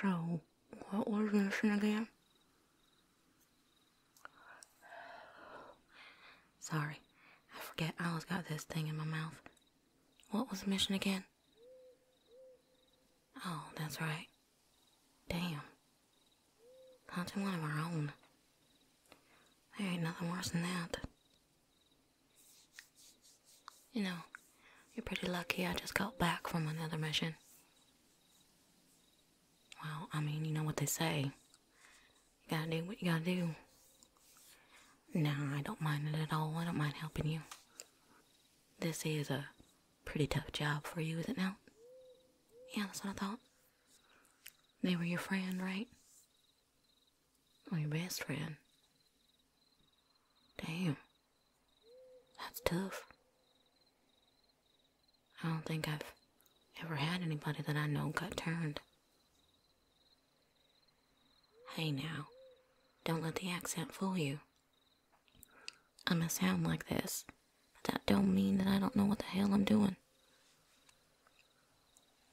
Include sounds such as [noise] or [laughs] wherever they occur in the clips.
So, what was mission again? Sorry, I forget I always got this thing in my mouth. What was the mission again? Oh, that's right. Damn. Hunting one of our own. There ain't nothing worse than that. You know, you're pretty lucky I just got back from another mission. Well, I mean, you know what they say. You gotta do what you gotta do. Now, I don't mind it at all. I don't mind helping you. This is a pretty tough job for you, is it not? Yeah, that's what I thought. They were your friend, right? My best friend. Damn. That's tough. I don't think I've ever had anybody that I know got turned. Hey now, don't let the accent fool you. I am may sound like this, but that don't mean that I don't know what the hell I'm doing.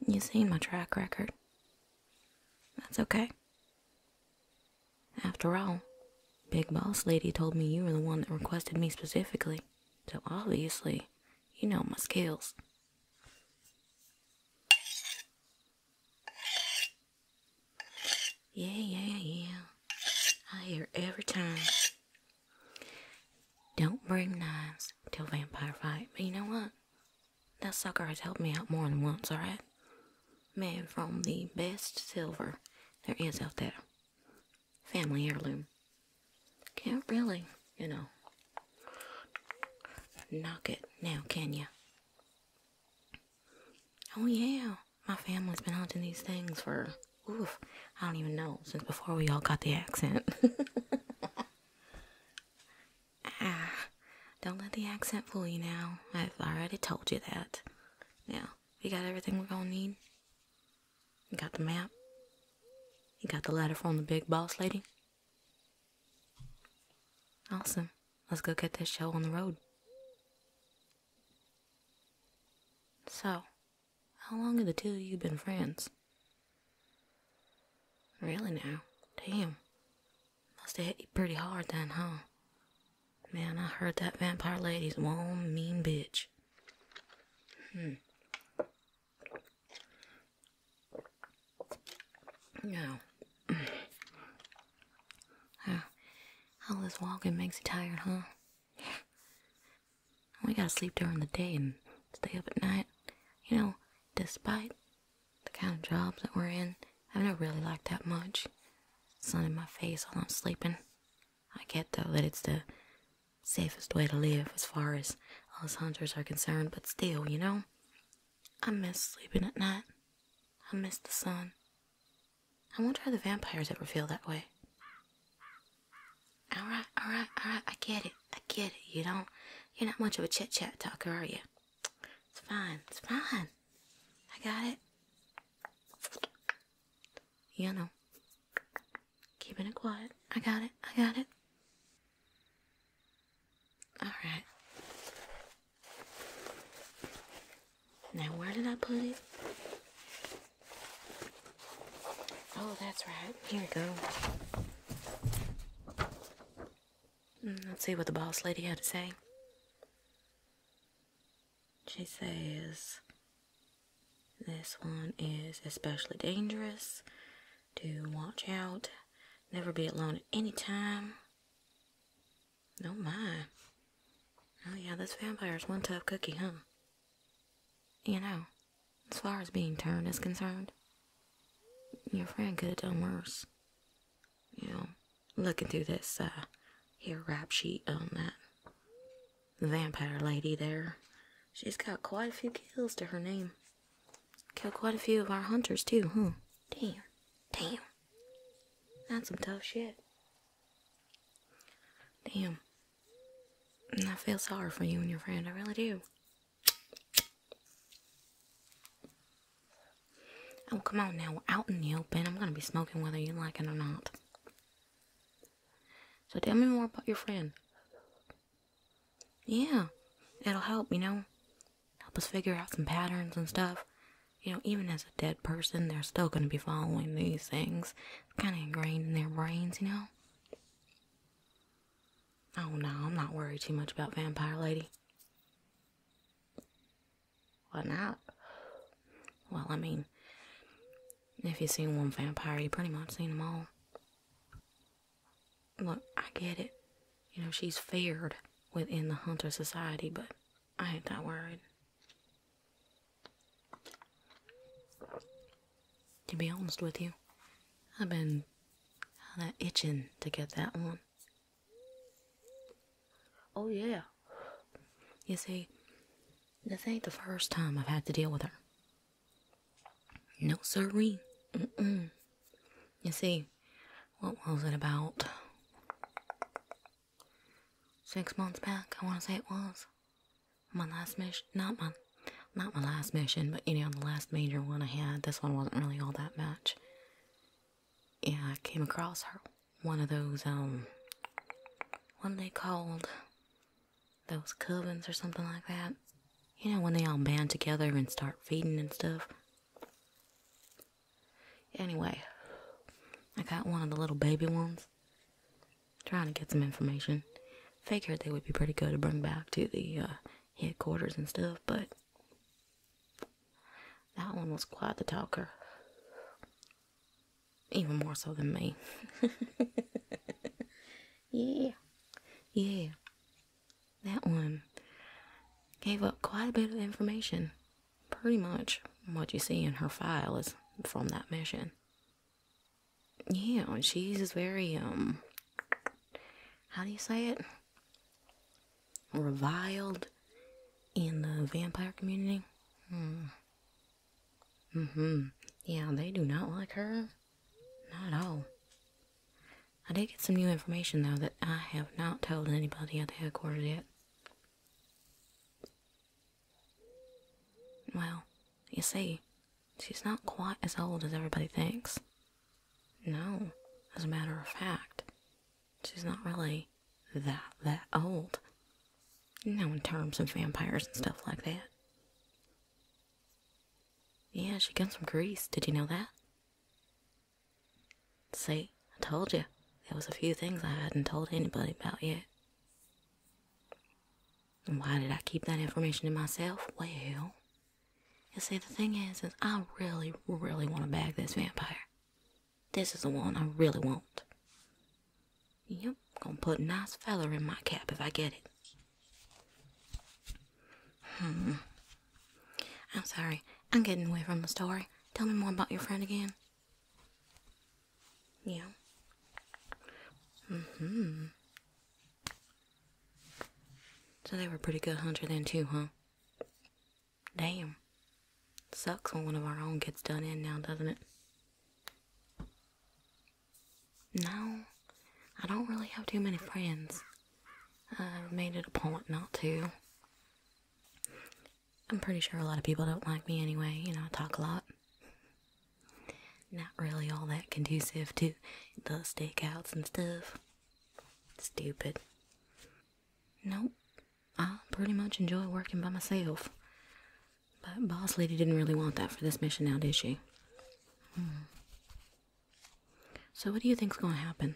you seen my track record. That's okay. After all, Big Boss Lady told me you were the one that requested me specifically, so obviously, you know my skills. Yeah, yeah, yeah. I hear every time. Don't bring knives to vampire fight, but you know what? That sucker has helped me out more than once, alright? man, from the best silver there is out there. Family heirloom. Can't really, you know, knock it now, can you? Oh yeah, my family's been hunting these things for, oof, I don't even know, since before we all got the accent. [laughs] Ah, don't let the accent fool you now. I've already told you that. Now, we got everything we're gonna need? You got the map? You got the letter from the big boss lady? Awesome. Let's go get this show on the road. So, how long have the two of you been friends? Really now? Damn. Must have hit you pretty hard then, huh? Man, I heard that vampire lady's one mean bitch. Hmm. Now, [sighs] huh. all this walking makes you tired, huh? We gotta sleep during the day and stay up at night. You know, despite the kind of jobs that we're in, i don't really like that much. Sun in my face while I'm sleeping. I get though that it's the safest way to live as far as us hunters are concerned, but still, you know, I miss sleeping at night. I miss the sun. I wonder how the vampires ever feel that way. Alright, alright, alright, I get it, I get it. You don't, you're not much of a chit chat talker, are you? It's fine, it's fine. I got it. You know, Keeping it quiet. I got it. I got it. Alright. Now, where did I put it? Oh, that's right. Here we go. Mm, let's see what the boss lady had to say. She says this one is especially dangerous to watch out. Never be alone at any time. Oh mind. Oh yeah, this vampire's one tough cookie, huh? You know, as far as being turned is concerned, your friend could have done worse you know, looking through this uh, here rap sheet on that vampire lady there, she's got quite a few kills to her name. Killed quite a few of our hunters too, huh? Damn, damn, that's some tough shit. Damn, I feel sorry for you and your friend. I really do. Oh, come on now. We're out in the open. I'm going to be smoking whether you like it or not. So tell me more about your friend. Yeah, it'll help, you know. Help us figure out some patterns and stuff. You know, even as a dead person, they're still going to be following these things. It's kind of ingrained in their brains, you know. Oh no, I'm not worried too much about Vampire Lady. What not? Well, I mean, if you've seen one vampire, you pretty much seen them all. Look, I get it. You know, she's feared within the hunter society, but I ain't that worried. To be honest with you, I've been kinda itching to get that one. Oh, yeah. You see, this ain't the first time I've had to deal with her. No, siree. You see, what was it about? Six months back, I want to say it was. My last mission, not my, not my last mission, but you know, the last major one I had. This one wasn't really all that much yeah, I came across her. One of those, um, one they called? Those covens or something like that. You know, when they all band together and start feeding and stuff. Anyway, I got one of the little baby ones. Trying to get some information. Figured they would be pretty good to bring back to the uh, headquarters and stuff, but that one was quite the talker. Even more so than me. [laughs] yeah. Yeah. That one gave up quite a bit of information. Pretty much what you see in her file is from that mission. Yeah, and she's very, um, how do you say it? reviled in the vampire community. Hmm. Mm-hmm. Yeah, they do not like her. Not at all. I did get some new information, though, that I have not told anybody at the headquarters yet. Well, you see, she's not quite as old as everybody thinks. No, as a matter of fact, she's not really that that old. You know, in terms of vampires and stuff like that. Yeah, she comes from Greece. Did you know that? Say, I told you. There was a few things I hadn't told anybody about yet. why did I keep that information to myself? Well, you see, the thing is, is I really, really want to bag this vampire. This is the one I really want. Yep, gonna put a nice feather in my cap if I get it. Hmm. I'm sorry, I'm getting away from the story. Tell me more about your friend again. Yeah. hmm So they were pretty good hunters then too, huh? Damn. Sucks when one of our own gets done in now, doesn't it? No, I don't really have too many friends. I've made it a point not to. I'm pretty sure a lot of people don't like me anyway, you know, I talk a lot. Not really all that conducive to the stakeouts and stuff. Stupid. Nope. I pretty much enjoy working by myself. But Boss Lady didn't really want that for this mission now, did she? Hmm. So what do you think's gonna happen?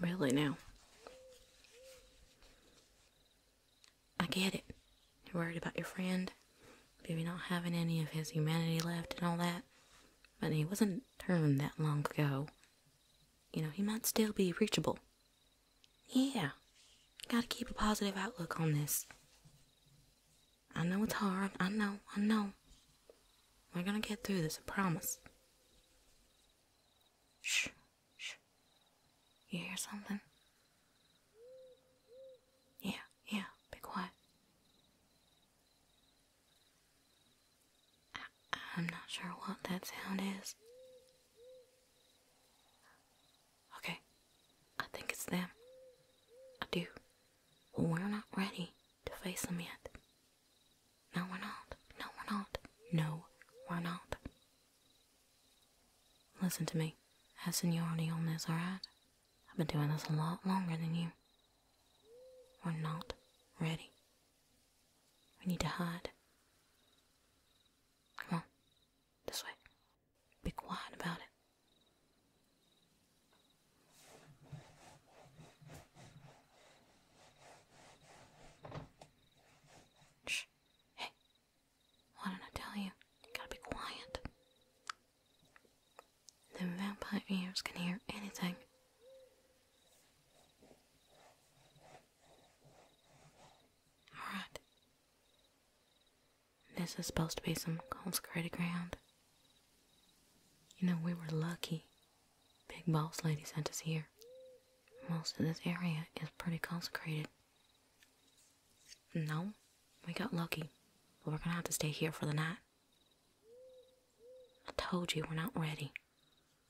Really now? I get it. You're worried about your friend, maybe not having any of his humanity left and all that. But he wasn't turned that long ago. You know, he might still be reachable. Yeah, gotta keep a positive outlook on this. I know it's hard. I know, I know. We're gonna get through this, I promise. Shh, shh. You hear something? Yeah yeah, be quiet. I am not sure what that sound is. Okay, I think it's them. I do. We're not ready to face them yet. No, we're not. No, we're not. No, we're not. Listen to me. as seniority on this, I've been doing this a lot longer than you. We're not ready. We need to hide. Come on, this way. Be quiet about it. Shh. Hey, why didn't I tell you? You gotta be quiet. The vampire ears can hear anything. Alright. This is supposed to be some consecrated ground. You know, we were lucky. Big Boss Lady sent us here. Most of this area is pretty consecrated. No, we got lucky. But we're gonna have to stay here for the night. I told you we're not ready.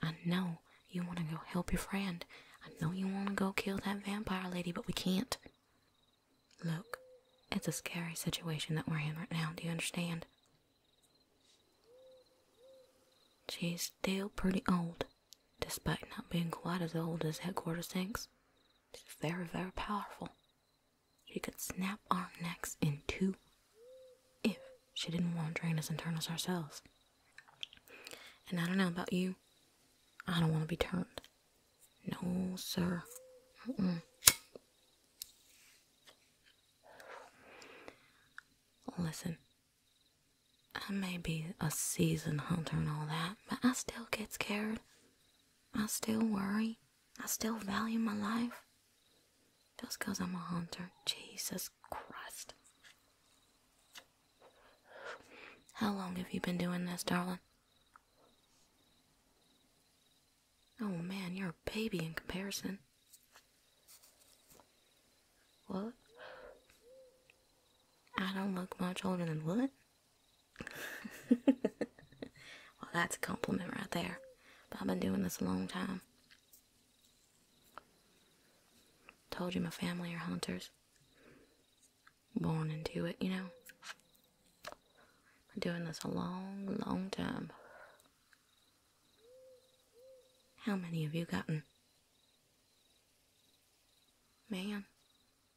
I know you want to go help your friend. I know you want to go kill that vampire lady, but we can't. Look, it's a scary situation that we're in right now, do you understand? She's still pretty old, despite not being quite as old as Headquarters thinks. She's very, very powerful. She could snap our necks in two if she didn't want to drain us internals ourselves. And I don't know about you, I don't want to be turned. No, sir. Listen, I may be a seasoned hunter and all that, but I still get scared. I still worry. I still value my life. Just because I'm a hunter. Jesus Christ. How long have you been doing this, darling? Oh man, you're a baby in comparison. What? I don't look much older than what? [laughs] well, that's a compliment right there. I've been doing this a long time. Told you my family are hunters. Born into it, you know. Been doing this a long, long time. How many have you gotten? Man,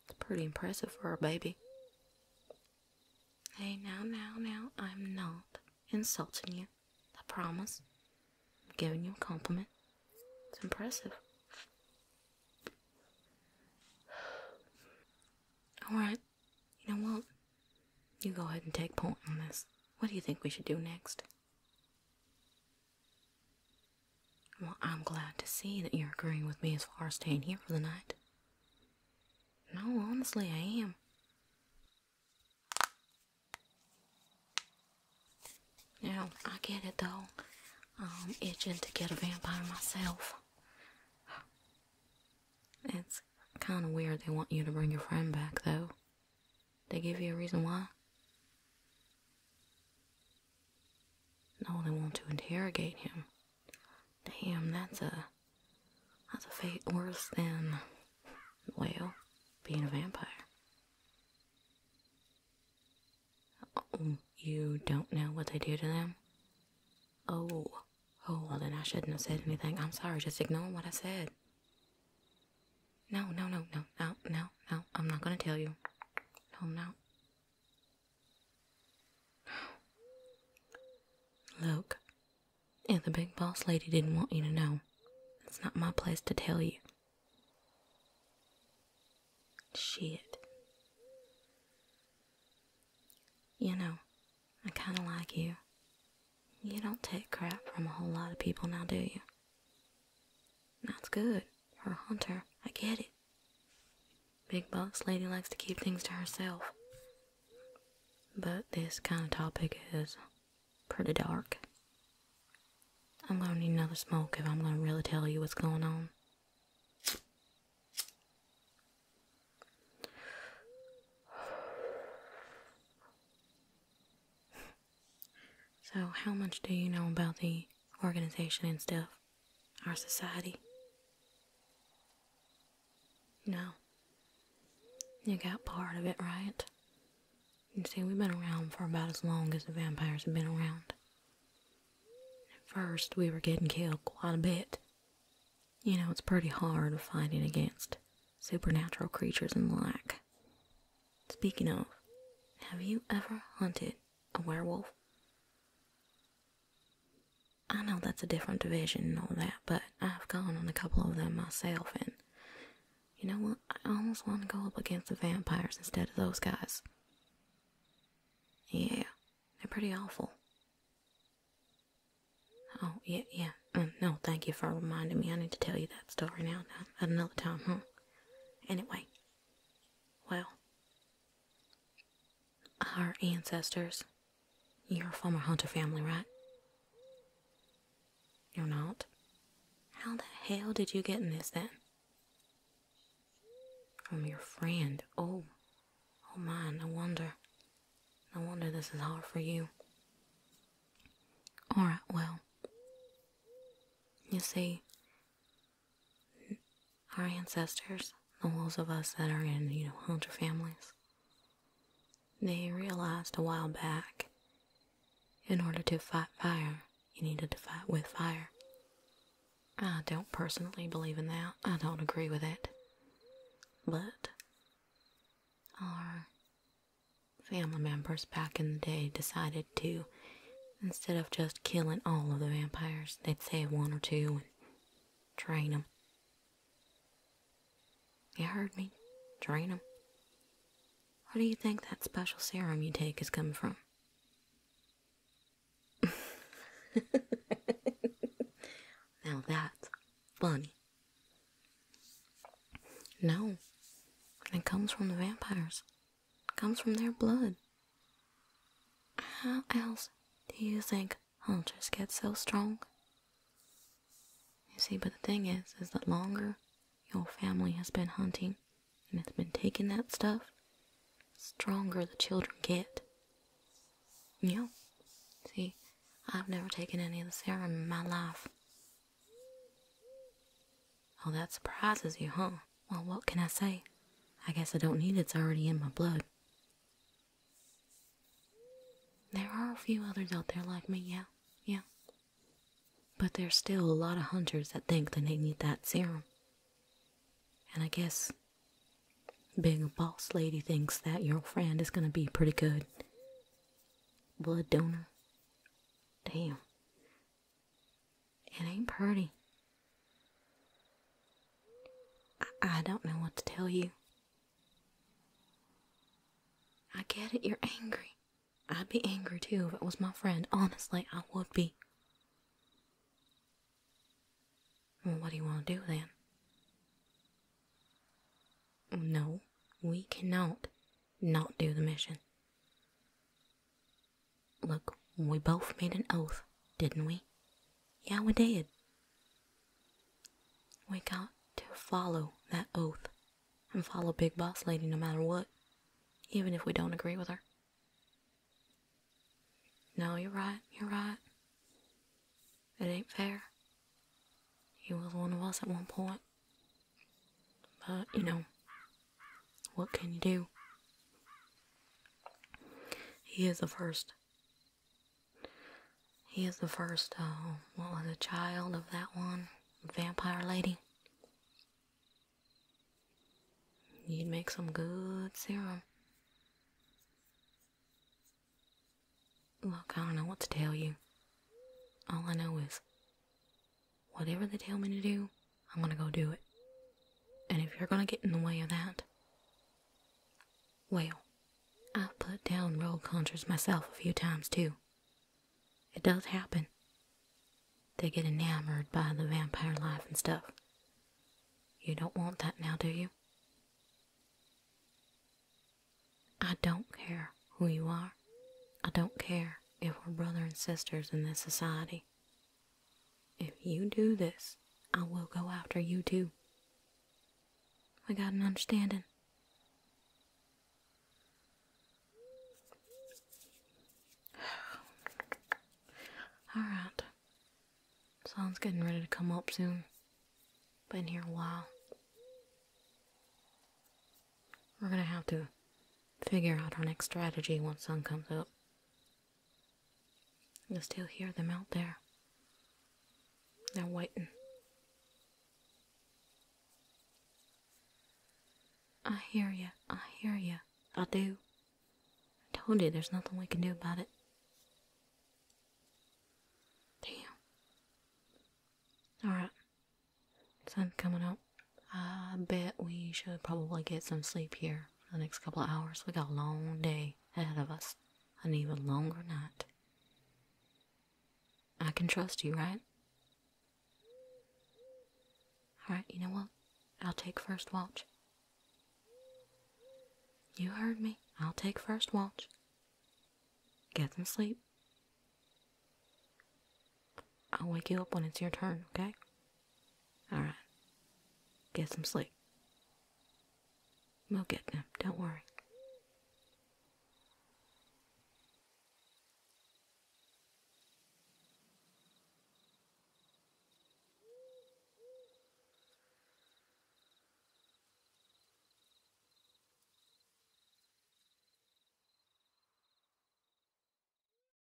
it's pretty impressive for a baby. Hey, now, now, now, I'm not insulting you. I promise. I'm giving you a compliment. It's impressive. Alright, you know what? You go ahead and take point on this. What do you think we should do next? Well, I'm glad to see that you're agreeing with me as far as staying here for the night. No, honestly, I am. Now, I get it though. I'm itching to get a vampire myself. It's kind of weird they want you to bring your friend back though. They give you a reason why? Now they want to interrogate him. Damn, that's a that's a fate worse than well, being a vampire. Oh, you don't know what they do to them? Oh, oh, well then I shouldn't have said anything. I'm sorry, just ignore what I said. No, no, no, no, no, no, no, I'm not gonna tell you. No, now. Look, if the big boss lady didn't want you to know, it's not my place to tell you. Shit. You know, I kinda like you. You don't take crap from a whole lot of people now, do you? That's good. Her hunter. I get it. Big Buck's lady likes to keep things to herself. But this kind of topic is pretty dark. I'm gonna need another smoke if I'm gonna really tell you what's going on. [sighs] So, how much do you know about the organization and stuff? our society. No. You got part of it right. You see, we've been around for about as long as the vampires have been around. At first, we were getting killed quite a bit. You know, it's pretty hard fighting against supernatural creatures and the like. Speaking of, have you ever hunted a werewolf? I know that's a different division and all that, but I've gone on a couple of them myself, and you know what? I almost want to go up against the vampires instead of those guys. Yeah, they're pretty awful. Oh, yeah, yeah. Mm, no, thank you for reminding me. I need to tell you that story now, at another time, huh? Anyway, well, our ancestors. You're a former hunter family, right? You're not? How the hell did you get in this then? From your friend. Oh. Oh my, no wonder. No wonder this is hard for you. Alright, well. You see, our ancestors, the those of us that are in, you know, hunter families, they realized a while back in order to fight fire, you needed to fight with fire. I don't personally believe in that. I don't agree with it. But our family members back in the day decided to Instead of just killing all of the vampires, they'd save one or two and train them. You heard me. Drain them. Where do you think that special serum you take has come from? [laughs] now that's funny. No, it comes from the vampires comes from their blood. How else do you think hunters get so strong? You see, but the thing is, is that longer your family has been hunting and has been taking that stuff, stronger the children get. You know, see, I've never taken any of the serum in my life. Oh, that surprises you, huh? well, what can I say? I guess I don't need it, it's already in my blood. There are a few others out there like me, yeah, yeah. But there's still a lot of hunters that think that they need that serum. And I guess being a boss lady thinks that your friend is gonna be pretty good. Blood donor? Damn. It ain't pretty. I, don't know what to tell you. I get it, you're angry. I'd be angry too if it was my friend. Honestly, I would be. Well, what do you want to do then? No, we cannot not do the mission. Look, we both made an oath, didn't we? Yeah, we did. We got to follow that oath and follow Big Boss Lady no matter what, even if we don't agree with her. No, you're right, you're right. It ain't fair. He was one of us at one point. But, you know, what can you do? He is the first. He is the first, uh, what was a child of that one vampire lady. You'd make some good serum. Look, I don't know what to tell you. All I know is whatever they tell me to do, I'm gonna go do it. And if you're gonna get in the way of that, well, I've put down roll conjures myself a few times too. It does happen. They get enamored by the vampire life and stuff. You don't want that now, do you? I don't care who you are. I don't care if we're brother and sisters in this society. If you do this, I will go after you too. We got an understanding. [sighs] Alright. Sun's getting ready to come up soon. Been here a while. We're gonna have to figure out our next strategy once sun comes up. You will still hear them out there. They're waiting. I hear you. I hear you. I do. I told you there's nothing we can do about it. Damn. Alright. Sun's coming up. I bet we should probably get some sleep here for the next couple of hours. We got a long day ahead of us, an even longer night. I can trust you, right? Alright, you know what? I'll take first watch. You heard me. I'll take first watch. Get some sleep. I'll wake you up when it's your turn, okay? Alright. Get some sleep. We'll get them, don't worry.